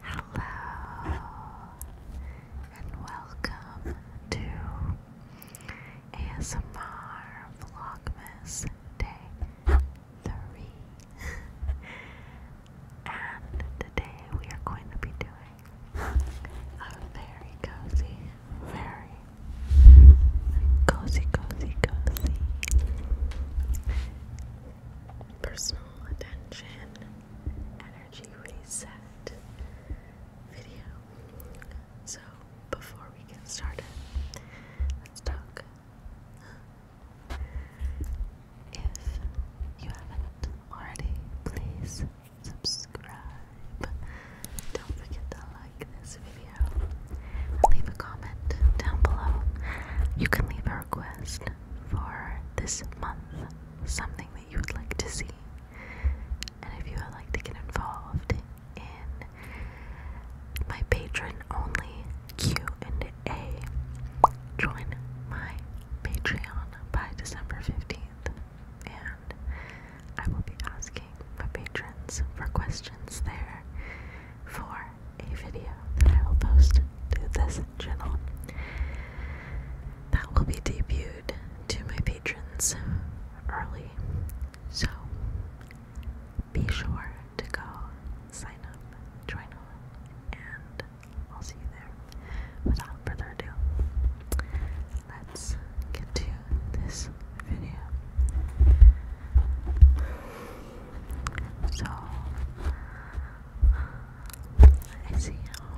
Hello and welcome to ASMR Vlogmas Day 3. and today we are going to be doing a very cozy, very Cozy, cozy, cozy. Personal attention, energy reset video. So, before we get started, let's talk. If you haven't already, please subscribe. Don't forget to like like this video, leave a comment down below. You can leave a request for this month, something that you would like to see. And if you would like to get involved in my patron-only Q&A, join my Patreon by December 15th. And I will be asking my patrons for questions there for a video that I will post to this channel. That will be debuted to my patrons early. So be sure to go sign up, join on, and I'll see you there. Without further ado, let's get to this video. So I see how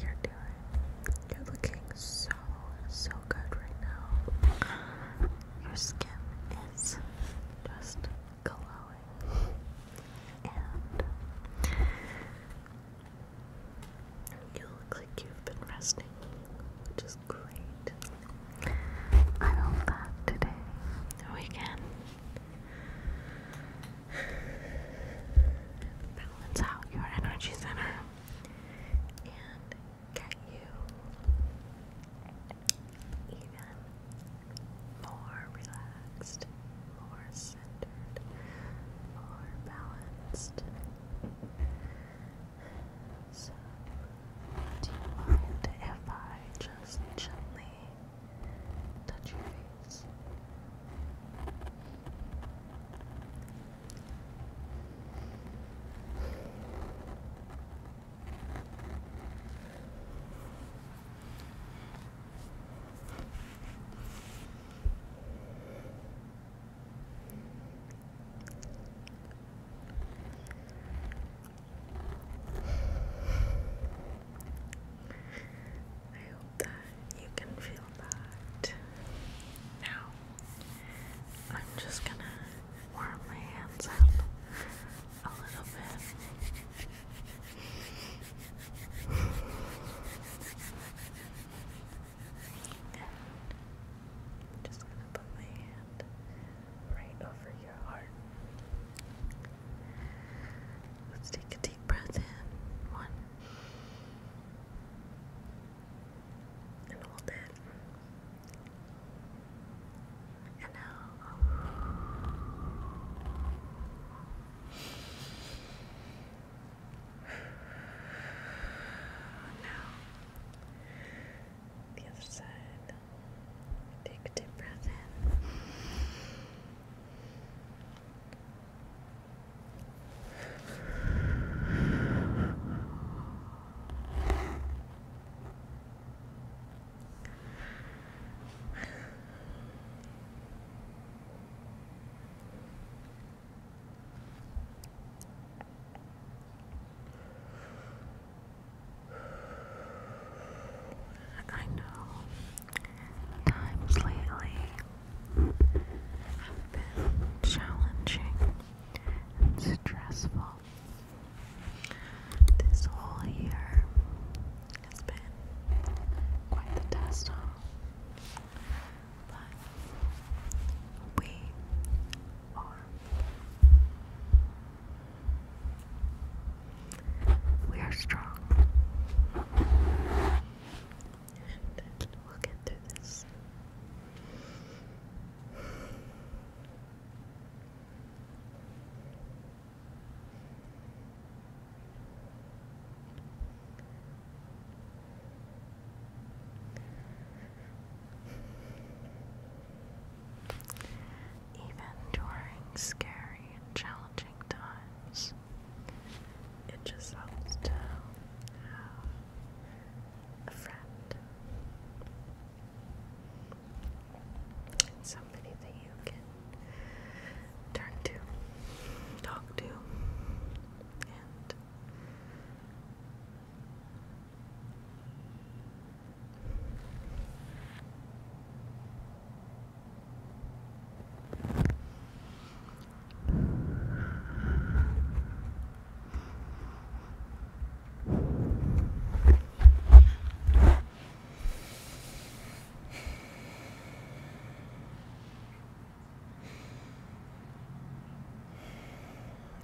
you're doing. You're looking so so good right now. Your skin is just glowing you look like you've been resting, which is great. I love that today. We can balance out your energy center and get you even more relaxed, more centered, more balanced. So, do you mind if I just gently touch your face? I hope that you can feel that. Now, I'm just gonna warm my hands up a little bit just gonna put my hand right over your heart. Let's take a deep breath in. One. And hold it. And out. Now, the other side. Take a deep breath in. I know times lately have been challenging and stressful. This whole year has been quite the test, but we are. We are strong. And we'll get through this. Even during scary and challenging times, it just helps to have a friend and somebody that you can turn to, talk to, and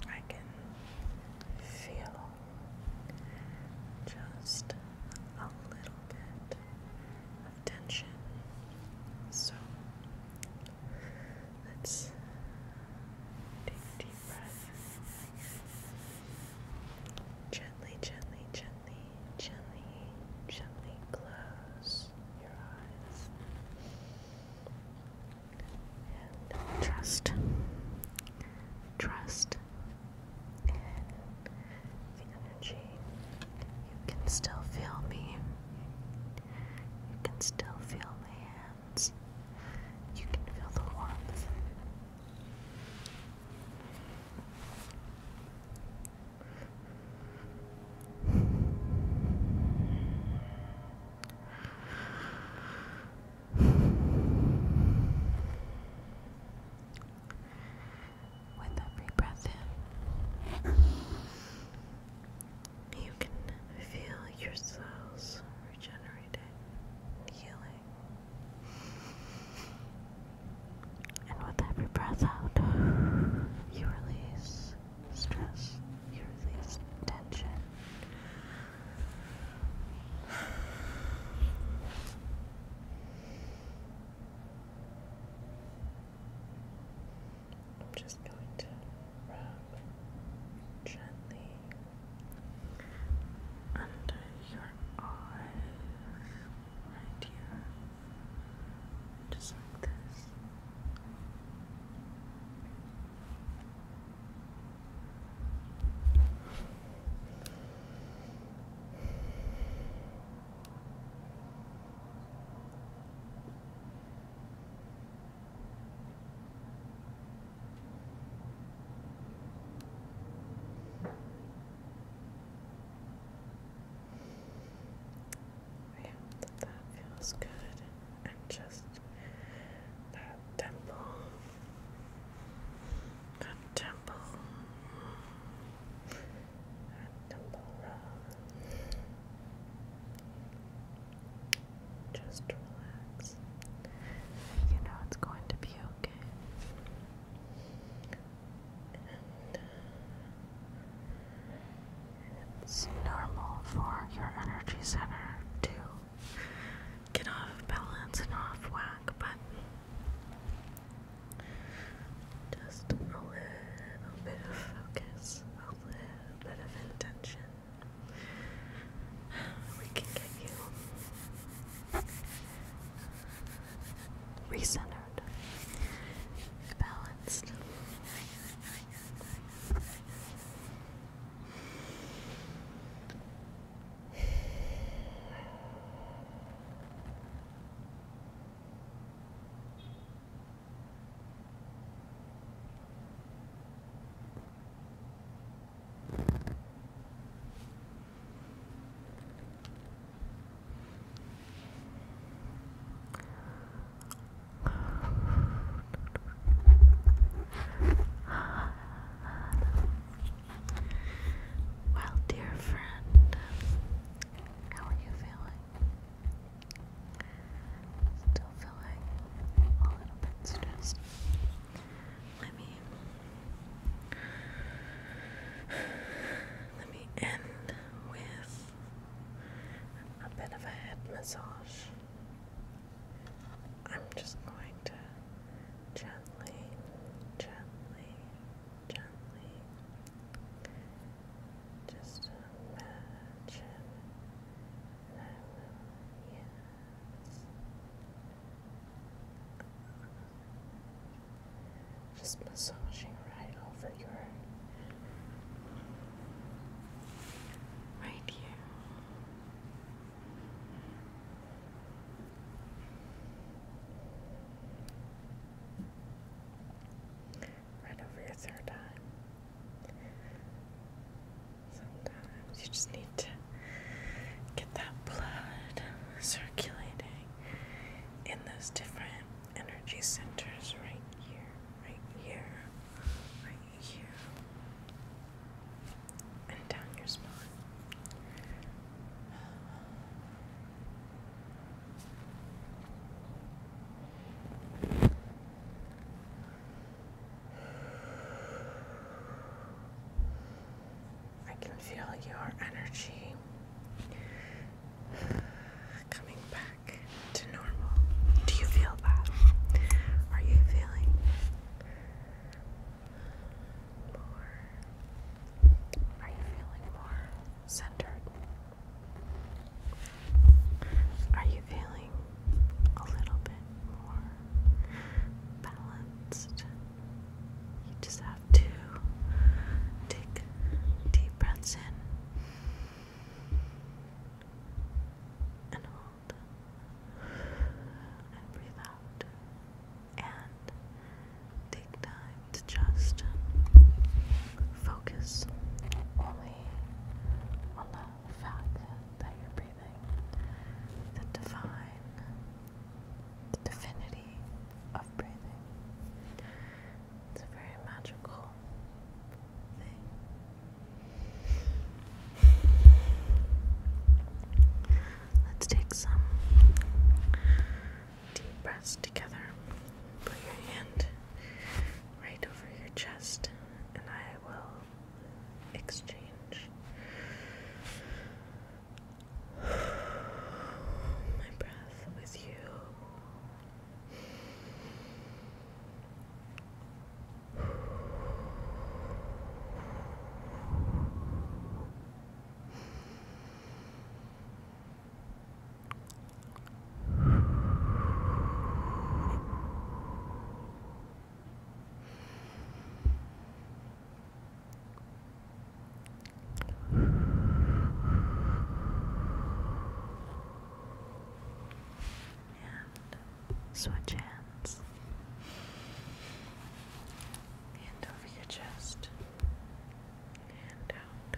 I can feel just a little bit of tension. So let's take deep breath. Gently, gently, gently gently, gently close your eyes and trust, trust in the energy. You can still feel me. You can still feel my hands. You can feel the warmth. With every breath you can feel your cells regenerating, healing. And with every breath out, you release stress, you release tension. I'm just going to rub gently under your eyes right here, just like this. Yeah, that feels good. And just that temple. That temple. That temple Just relax. You know it's going to be okay. And it's normal for your energy center to get off balance and off whack, but just a little bit of focus, a little bit of intention. We can get you recentered, balanced. Well, dear friend, how are you feeling? Still feeling a little bit stressed let me let me end with a bit of a head massage. I'm just going to gently, gently, gently just imagine just massaging right over your right here. Right over your third eye. Sometimes you just need to get that blood circulating in those different energy centers right here, right here, right here, and down your spine. I can feel your energy coming back to normal. Do you feel that? Are you feeling more? Are you feeling more centered? Are you feeling a little bit bit more balanced. You just have to take deep breaths in and hold and breathe out and take time to just focus only on the fact that you're breathing the divine, the divinity of breathing. It's a very magical thing. Let's take some deep breaths together. Put your hand right over your chest, and I will exchange. My breath with you. And switch hands. And over your chest. And out.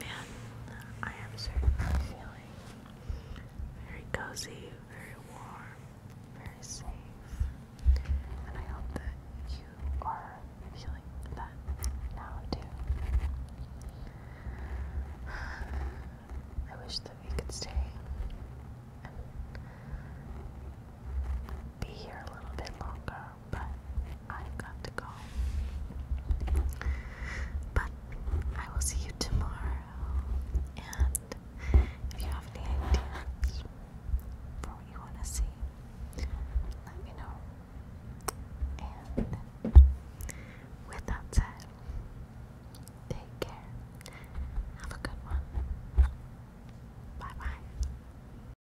Man, I am certainly feeling very cozy, very warm, very safe. And I hope that you are feeling that now too. I wish that we could stay and be here a little bit longer but I've got to go. But I will see you tomorrow. And if you have any ideas for what you want to see, let me know. And with that take care. Have a good one. Bye bye.